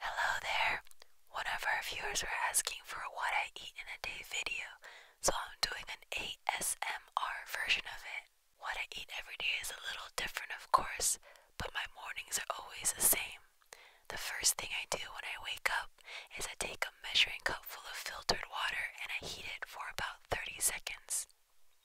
Hello there! One of our viewers were asking for a what I eat in a day video, so I'm doing an ASMR version of it. What I eat every day is a little different, of course, but my mornings are always the same. The first thing I do when I wake up is I take a measuring cup full of filtered water and I heat it for about 30 seconds.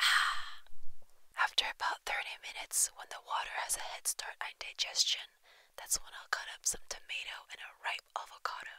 Ah! After about 30 minutes, when the water has a head start on digestion, that's when I'll cut up some tomato and a ripe avocado.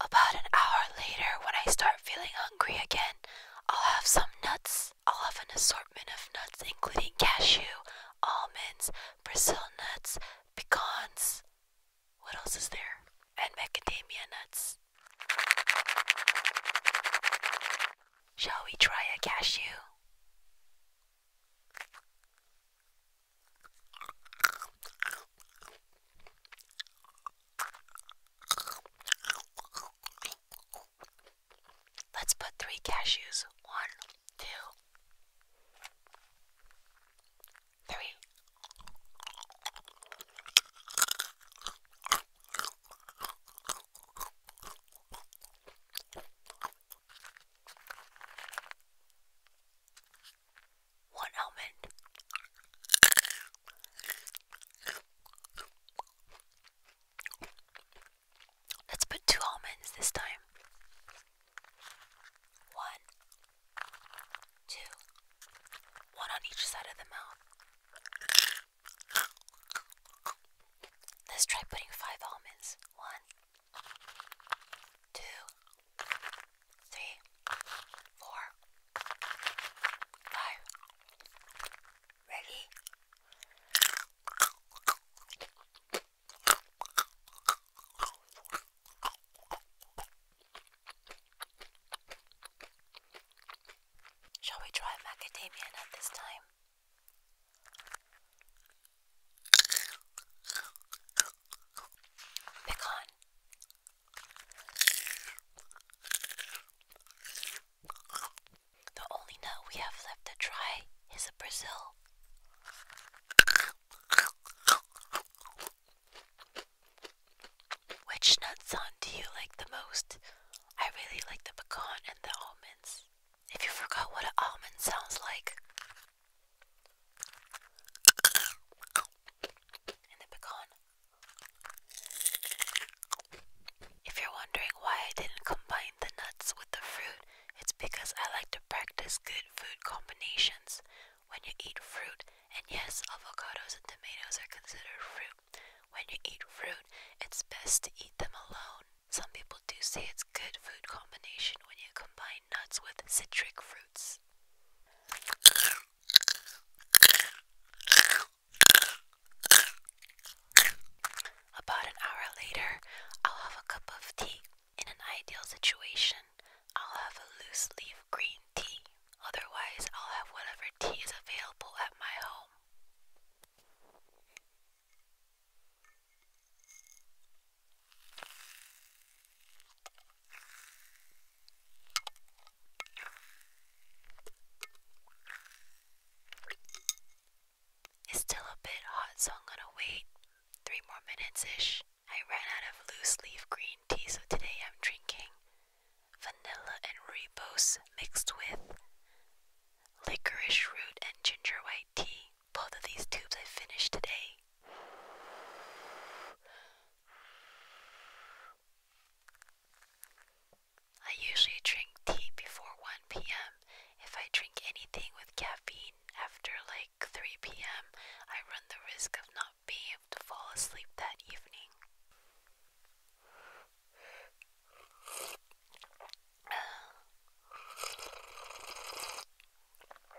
About an hour later, when I start feeling hungry again, I'll have some nuts. I'll have an assortment of nuts, including cashew, almonds, Brazil nuts, pecans. What else is there? And macadamia nuts. Shall we try a cashew? Let's put three cashews. One, two, three one almond. Let's put two almonds this time. One, two, one on each side of the mouth. Let's try putting five almonds. One, two, three, four, five. Ready? Shall we try macadamia nut this time? Pecan, the only nut we have left to try is a Brazil. Which nuts, sound do you like the most? I really like the pecan and the almonds. If you forgot what an almond sounds like, and the pecan. If you're wondering why I didn't combine the nuts with the fruit, it's because I like to practice good food combinations when you eat fruit. And yes, avocados and tomatoes are considered fruit. When you eat fruit, it's best to eat them alone. Some people do say it's good food combination when you combine nuts with citric fruit. About an hour later, I'll have a cup of tea. In an ideal situation, I'll have a loose leaf green tea. Otherwise, I'll have whatever tea is available at my home. It's still a bit hot, so I'm gonna wait three more minutes ish. I ran out of loose leaf green tea, so today I'm drinking vanilla and ribose mixed with licorice root and ginger white tea. Both of these tubes I finished today. I usually drink tea before 1 p.m. If I drink anything with caffeine after like 3 p.m., I run the risk of not being able to fall asleep that evening.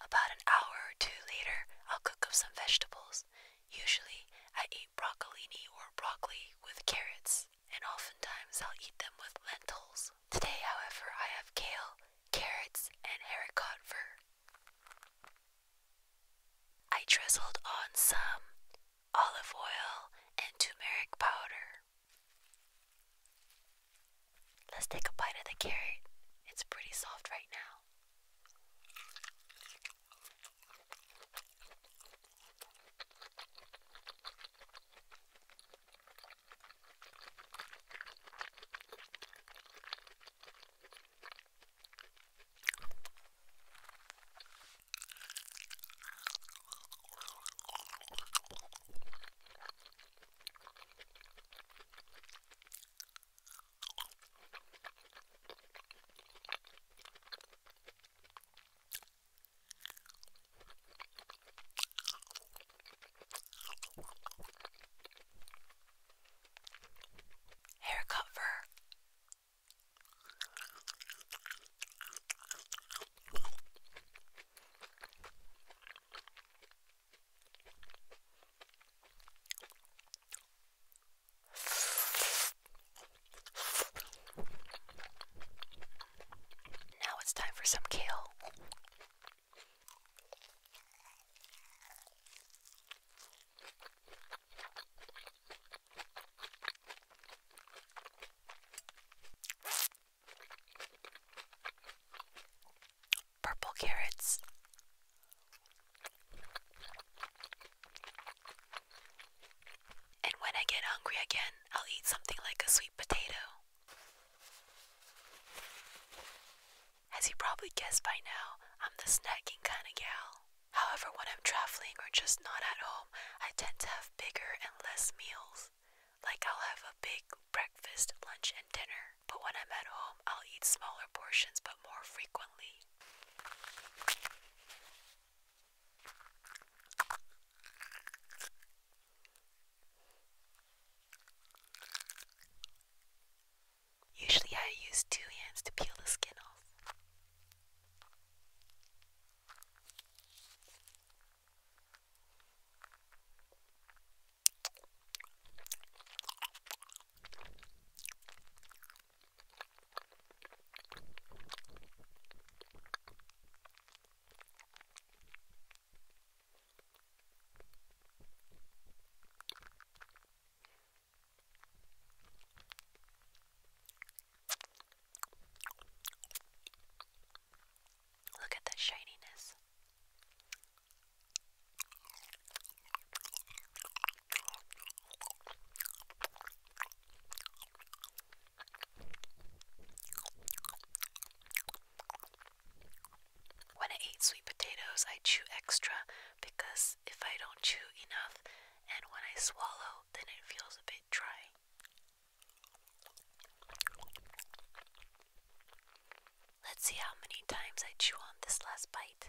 About an hour or two later, I'll cook up some vegetables. Usually, I eat broccolini or broccoli with carrots, and oftentimes I'll eat them with lentils. Today, however, I have kale, carrots, and haricot fur. I drizzled on some olive oil, and turmeric powder. Let's take a bite of the carrot. It's pretty soft right now. Haircut fur. Now it's time for some kale. Purple carrots. And when I get hungry again, I'll eat something like a sweet potato. As you probably guessed by now, I'm the snacking kind of gal. However, when I'm traveling or just not at home, I tend to have bigger and less meals. Like I'll have a big breakfast, lunch, and dinner, but when I'm at home, I'll eat smaller portions but more frequently. Usually I use two hands to peel the skin off. Look at the shininess. When I eat sweet potatoes, I chew extra because if I don't chew enough and when I swallow, then it feels a bit dry. Let's see how many times I chew on this last bite.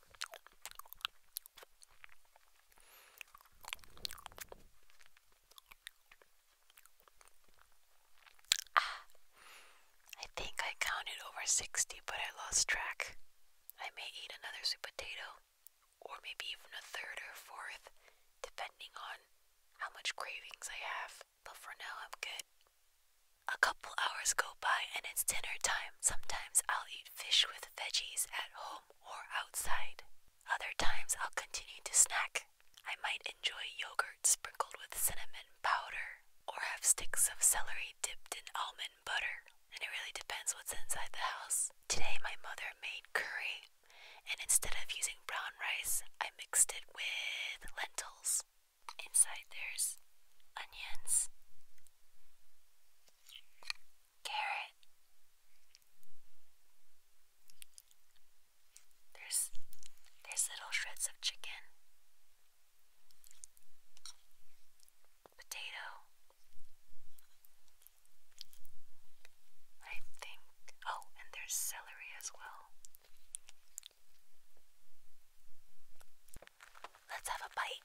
Ah, I think I counted over 60, but I lost track. I may eat another sweet potato, or maybe even a third or fourth, depending on how much cravings I have, but for now I'm good. A couple hours go by and it's dinner time. Sometimes I'll eat fish with veggies at home or outside. Other times I'll continue to snack. I might enjoy yogurt sprinkled with cinnamon powder or have sticks of celery dipped in almond butter. And it really depends what's inside the house. Today my mother made curry, and instead of using brown rice, I mixed it with lentils. Inside there's onions, Carrot. There's there's little shreds of chicken. Potato. I think oh, and there's celery as well. Let's have a bite.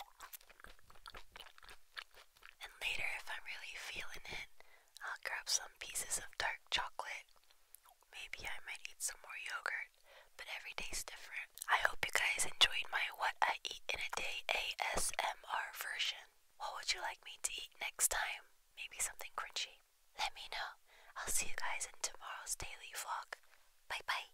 And later, if I'm really feeling it, I'll grab some pieces of dark chocolate. Maybe I might eat some more yogurt, but every day's different. I hope you guys enjoyed my What I Eat in a Day ASMR version. What would you like me to eat next time? Maybe something crunchy? Let me know. I'll see you guys in tomorrow's daily vlog. Bye bye.